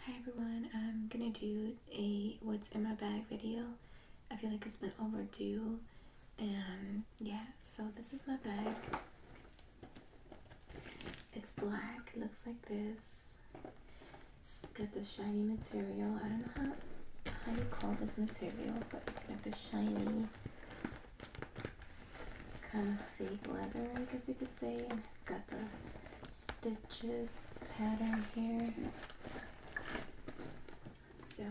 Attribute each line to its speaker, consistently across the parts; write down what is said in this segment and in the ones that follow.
Speaker 1: Hi everyone, I'm gonna do a what's in my bag video. I feel like it's been overdue and um, yeah, so this is my bag. It's black, looks like this. It's got the shiny material. I don't know how, how you call this material, but it's like the shiny kind of fake leather, I guess you could say. it's got the stitches pattern here. So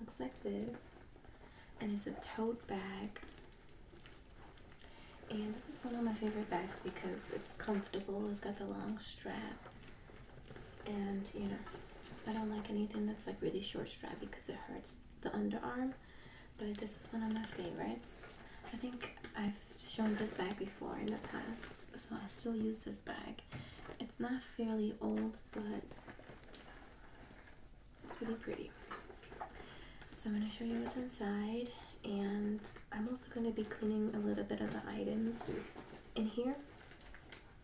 Speaker 1: looks like this. And it's a tote bag. And this is one of my favorite bags because it's comfortable. It's got the long strap. And you know, I don't like anything that's like really short strap because it hurts the underarm but this is one of my favorites. I think I've shown this bag before in the past, so I still use this bag. It's not fairly old, but it's pretty pretty. So I'm going to show you what's inside, and I'm also going to be cleaning a little bit of the items in here.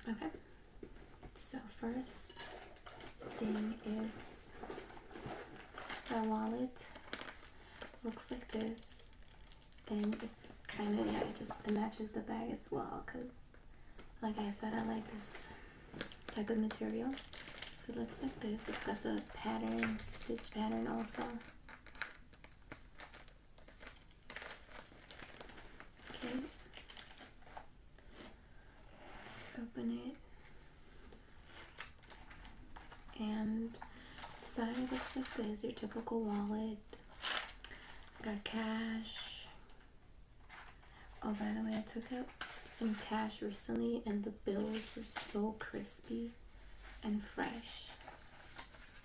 Speaker 1: Okay, so first thing is the wallet looks like this. Then it kind of, yeah, it just it matches the bag as well because like I said, I like this type of material. So it looks like this. It's got the pattern, stitch pattern also. Okay. Let's open it. And the side looks like this, your typical wallet. Got cash. Oh, by the way, I took out some cash recently and the bills were so crispy and fresh.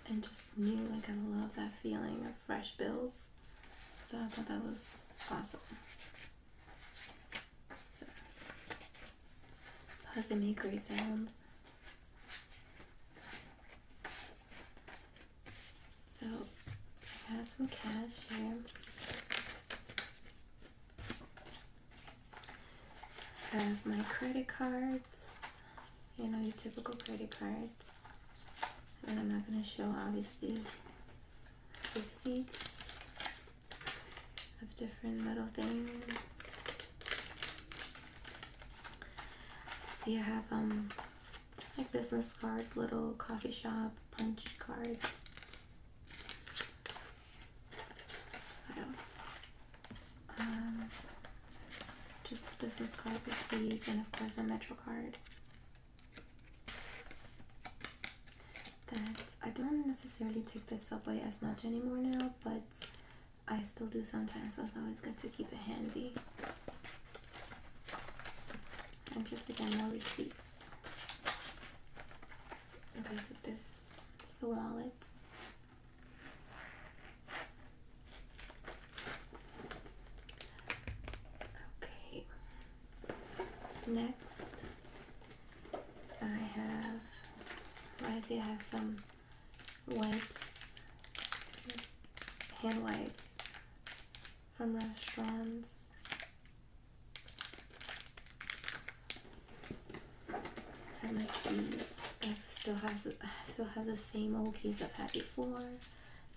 Speaker 1: And just new, like I love that feeling of fresh bills. So I thought that was awesome. So Plus they make great sounds. So I have some cash here. I have my credit cards, you know, your typical credit cards. And I'm not going to show, obviously, receipts of different little things. See, I have um like business cards, little coffee shop punch cards. What else? Um, just business cards with seeds, and of course my Metro card that I don't necessarily take the subway as much anymore now, but I still do sometimes, so it's always good to keep it handy. And just again, more receipts. Okay, so this is wallet. Okay. Next I have, I see I have some wipes, hand wipes from restaurants. I have my keys. still has I still have the same old keys I've had before.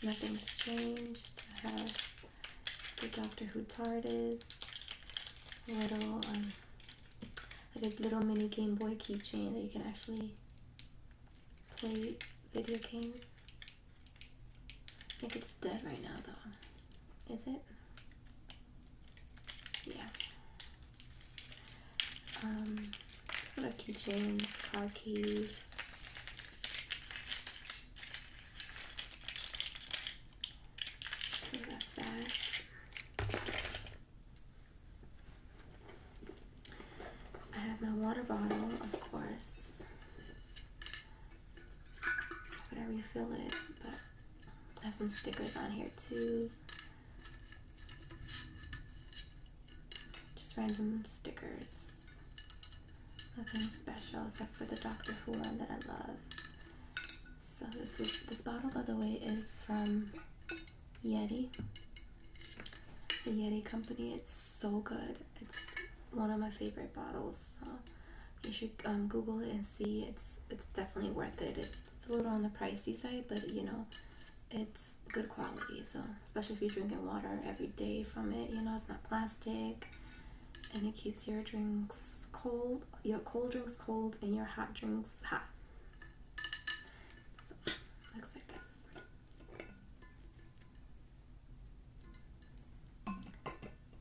Speaker 1: Nothing's changed. I have the Doctor Who is little um, like a little mini Game Boy keychain that you can actually play video games. I think it's dead right now though. Is it? Yeah. Um, what a keychain car keys. I have my water bottle, of course. But you refill it, but I have some stickers on here too. Just random stickers. Nothing special except for the Doctor Who one that I love. So this is this bottle, by the way, is from Yeti. The Yeti company. It's so good. It's one of my favorite bottles. So you should um, Google it and see. It's it's definitely worth it. It's a little on the pricey side, but you know, it's good quality. So especially if you're drinking water every day from it, you know, it's not plastic, and it keeps your drinks cold your cold drinks cold, and your hot drinks hot. So, looks like this.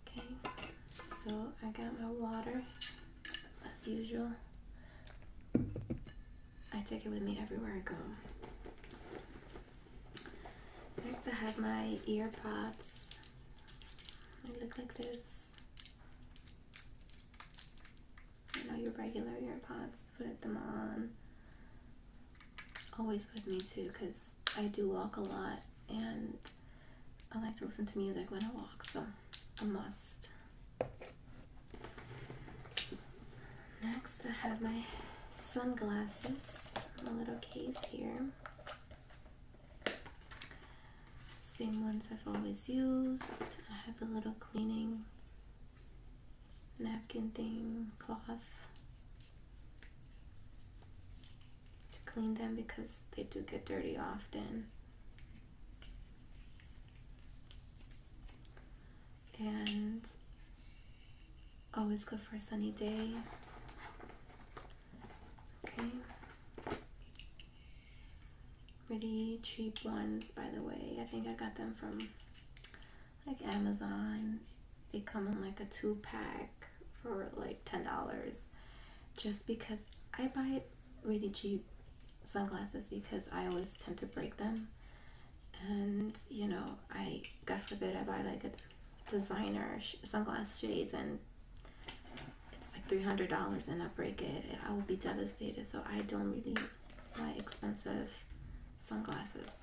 Speaker 1: Okay, so I got my water as usual. I take it with me everywhere I go. Next I have my ear pods. They look like this you know, your regular earpods. put them on. Always with me too, because I do walk a lot and I like to listen to music when I walk, so a must. Next, I have my sunglasses, My little case here. Same ones I've always used. I have a little cleaning napkin thing, cloth to clean them because they do get dirty often. And always go for a sunny day. Okay. Pretty cheap ones, by the way. I think I got them from like Amazon. They come in like a two pack for like $10 just because I buy really cheap sunglasses because I always tend to break them. And you know, I God forbid I buy like a designer sunglasses shades and it's like $300 and I break it, I will be devastated. So I don't really buy expensive sunglasses.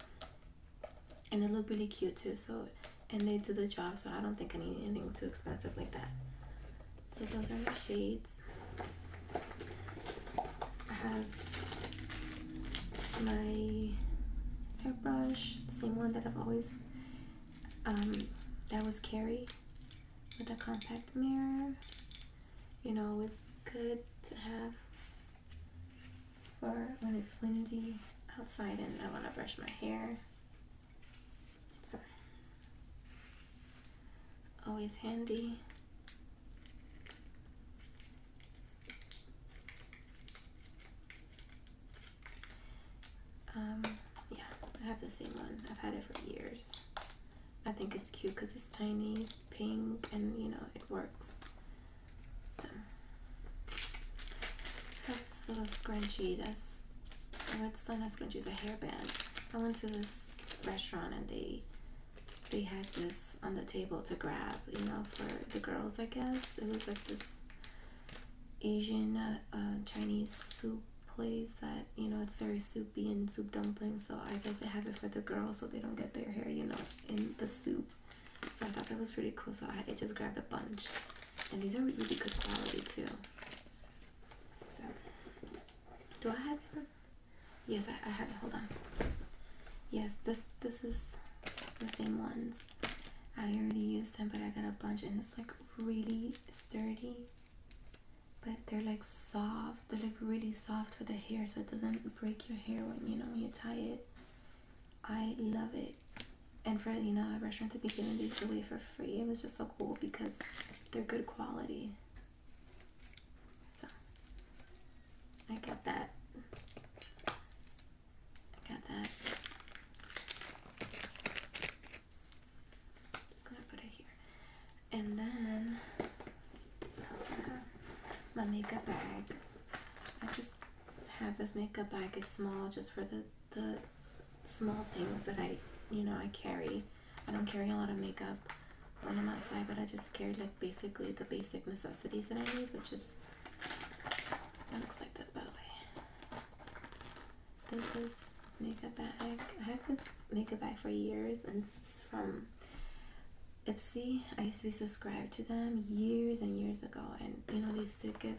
Speaker 1: And they look really cute too. So, and they do the job. So I don't think I need anything too expensive like that. So those are the shades. I have my hairbrush, same one that I've always, um, that was carry with a compact mirror. You know, it's good to have for when it's windy outside and I want to brush my hair. So, always handy. Um, yeah, I have the same one. I've had it for years. I think it's cute because it's tiny, pink, and you know, it works. So, this little scrunchie that's, oh, it's a scrunchie, is a hairband. I went to this restaurant and they they had this on the table to grab, you know, for the girls, I guess. It was like this Asian uh, uh, Chinese soup place that you know it's very soupy and soup dumpling. so i guess they have it for the girls so they don't get their hair you know in the soup so i thought that was pretty cool so i just grabbed a bunch and these are really good quality too so do i have yes i, I have hold on yes this this is the same ones i already used them but i got a bunch and it's like really sturdy but they're like soft they are like really soft for the hair so it doesn't break your hair when you know when you tie it i love it and for you know a restaurant to be giving these away for free it was just so cool because they're good quality so i got that i got that just gonna put it here. And then my makeup bag. I just have this makeup bag. It's small just for the, the small things that I, you know, I carry. I don't carry a lot of makeup on the outside, but I just carry like basically the basic necessities that I need, which is, that looks like this by the way. This is makeup bag. I have this makeup bag for years, and it's from Ipsy. I used to be subscribed to them years and years ago, and you know they used to give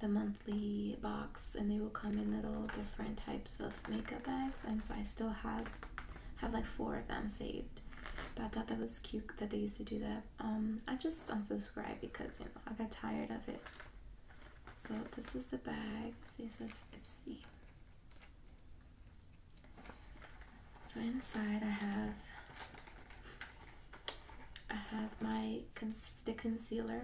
Speaker 1: the monthly box, and they will come in little different types of makeup bags, and so I still have have like four of them saved. But I thought that was cute that they used to do that. Um, I just unsubscribed because you know I got tired of it. So this is the bag. This is Ipsy. So inside I have I have my stick concealer.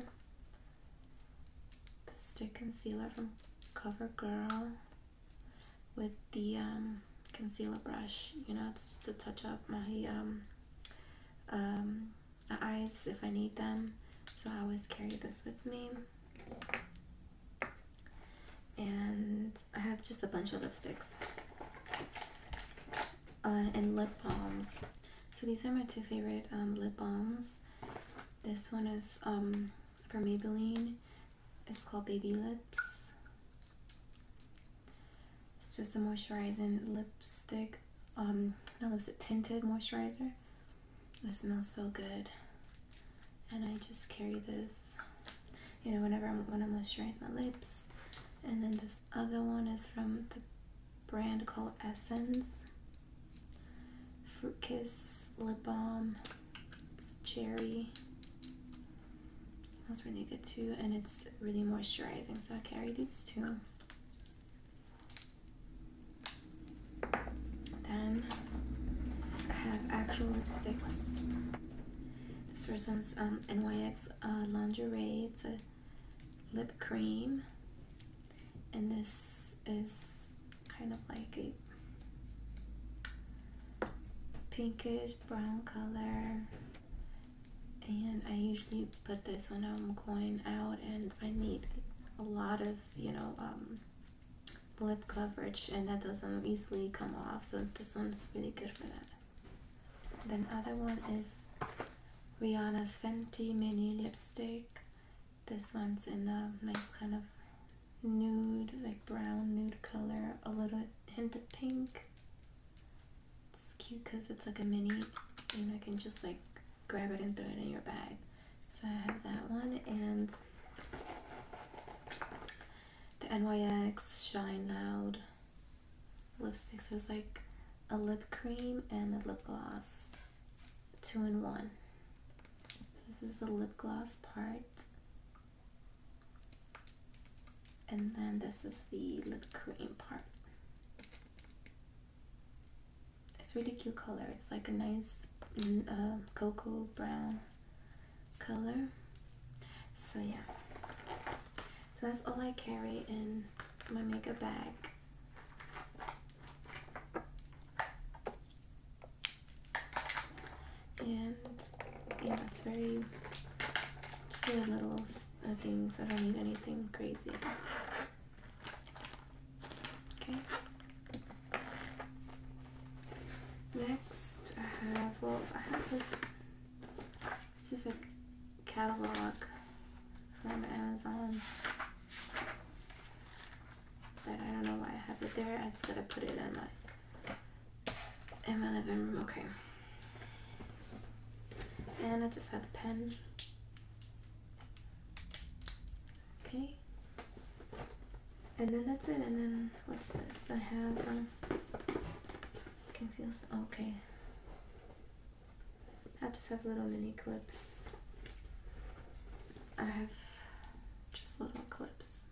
Speaker 1: The stick concealer from CoverGirl with the um, concealer brush, you know, to, to touch up my um, um, eyes if I need them. So I always carry this with me. And I have just a bunch of lipsticks. Uh, and lip balms. So these are my two favorite um, lip balms. This one is um, from Maybelline. It's called Baby Lips. It's just a moisturizing lipstick. Um, not lipstick, tinted moisturizer. It smells so good. And I just carry this, you know, whenever I'm, when i moisturize my lips. And then this other one is from the brand called Essence. Fruit Kiss Lip Balm. It's cherry. It smells really good too. And it's really moisturizing. So I carry these two. Then I have actual lipsticks. This first um, NYX uh, Lingerie. It's a lip cream. And this is kind of like a pinkish brown color and I usually put this when I'm going out and I need a lot of you know um, lip coverage and that doesn't easily come off so this one's really good for that then other one is Rihanna's Fenty mini lipstick this one's in a nice kind of nude like brown nude color a little hint of pink it's cute because it's like a mini and I can just like grab it and throw it in your bag. So I have that one and the NYX Shine Loud lipsticks So it's like a lip cream and a lip gloss, two in one. this is the lip gloss part. And then this is the lip cream part. It's really cute color. It's like a nice mm, uh, cocoa brown color. So yeah. So that's all I carry in my makeup bag. And yeah, it's very just little uh, things. I don't need anything crazy. Okay. Next, I have, well, I have this, It's just a catalog from Amazon that I don't know why I have it there. I just gotta put it in my, in my living room, okay. And I just have the pen Okay. And then that's it. And then what's this? I have um, confused. Okay. I just have little mini clips. I have just little clips,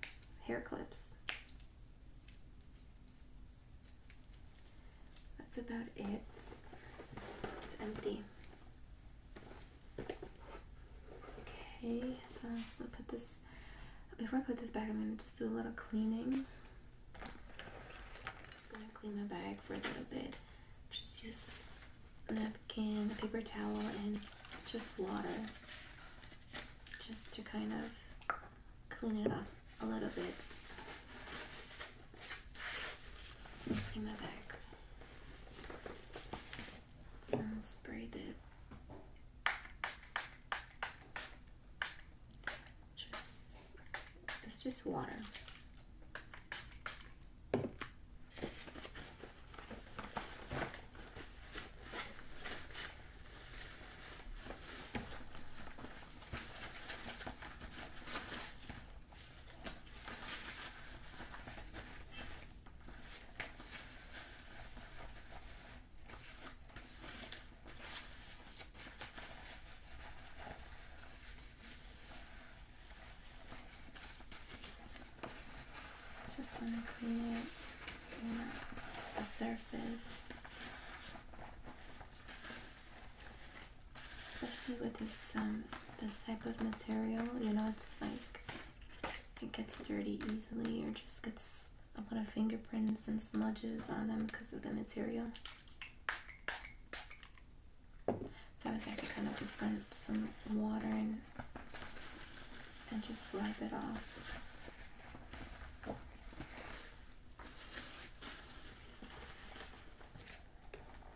Speaker 1: hair clips. That's about it. It's empty. Okay, so I'm just gonna put this, before I put this back, I'm gonna just do a little cleaning. gonna clean my bag for a little bit. Just use napkin, paper towel, and just water. Just to kind of clean it up a little bit in the back. Some braided. Just it's just water. Just want to clean up the surface especially with this um this type of material you know it's like it gets dirty easily or just gets a lot of fingerprints and smudges on them because of the material so I was like to kind of just run some water and and just wipe it off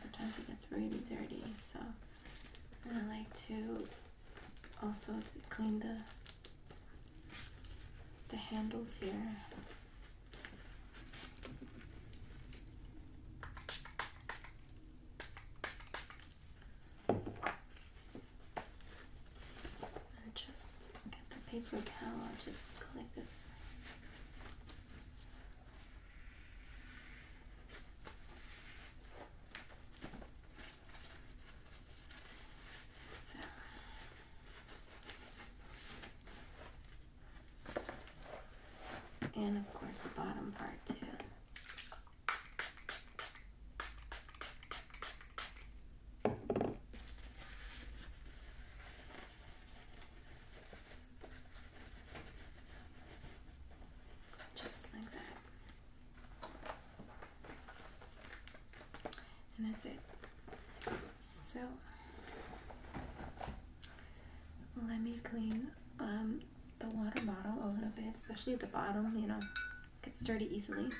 Speaker 1: sometimes it gets really dirty, so I like to also clean the the handles here. And just get the paper towel and just collect this. And of course the bottom part too. Just like that. And that's it. So let me clean um, the water bottle a little bit, especially the bottom, you know, gets dirty easily.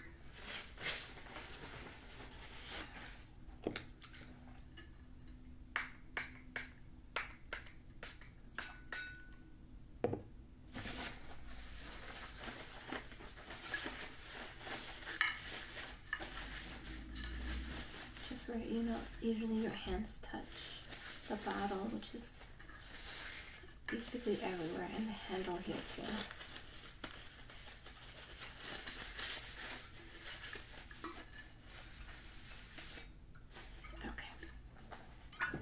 Speaker 1: Just where you know usually your hands touch the bottle, which is basically everywhere, and the handle here too. Okay.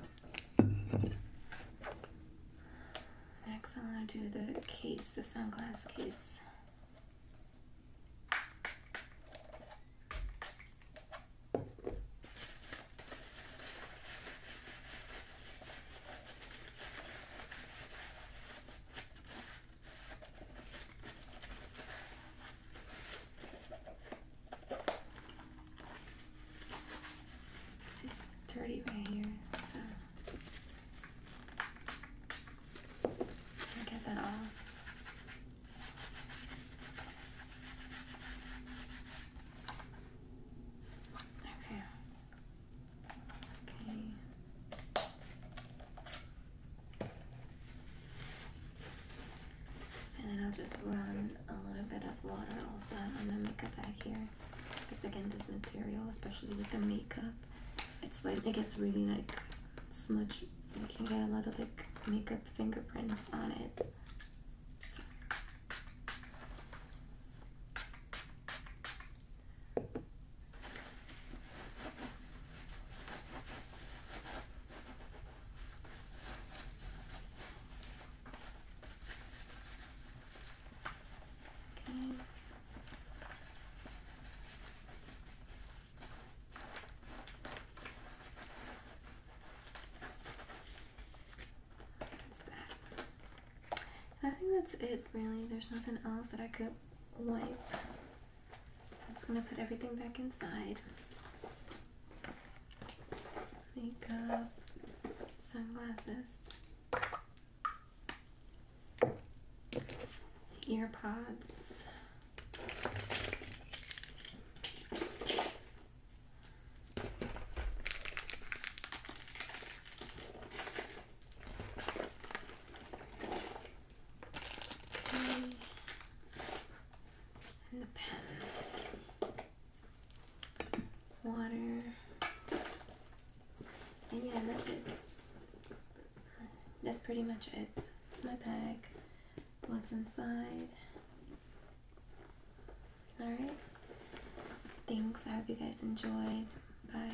Speaker 1: Next, I'm going to do the case, the sunglasses case. It's is dirty right here, so get that off. Okay. And then I'll just run a little bit of water also on the makeup bag here. Because again, this material, especially with the makeup, it's like it gets really like smudge. You can get a lot of like makeup fingerprints on it. Okay. That's that. I think that's it really. There's nothing else that I could wipe. So I'm just going to put everything back inside. Makeup, sunglasses, earpods and the pen, water, and yeah, that's it. That's pretty much it. It's my bag, what's inside. Alright, thanks, I hope you guys enjoyed. Bye.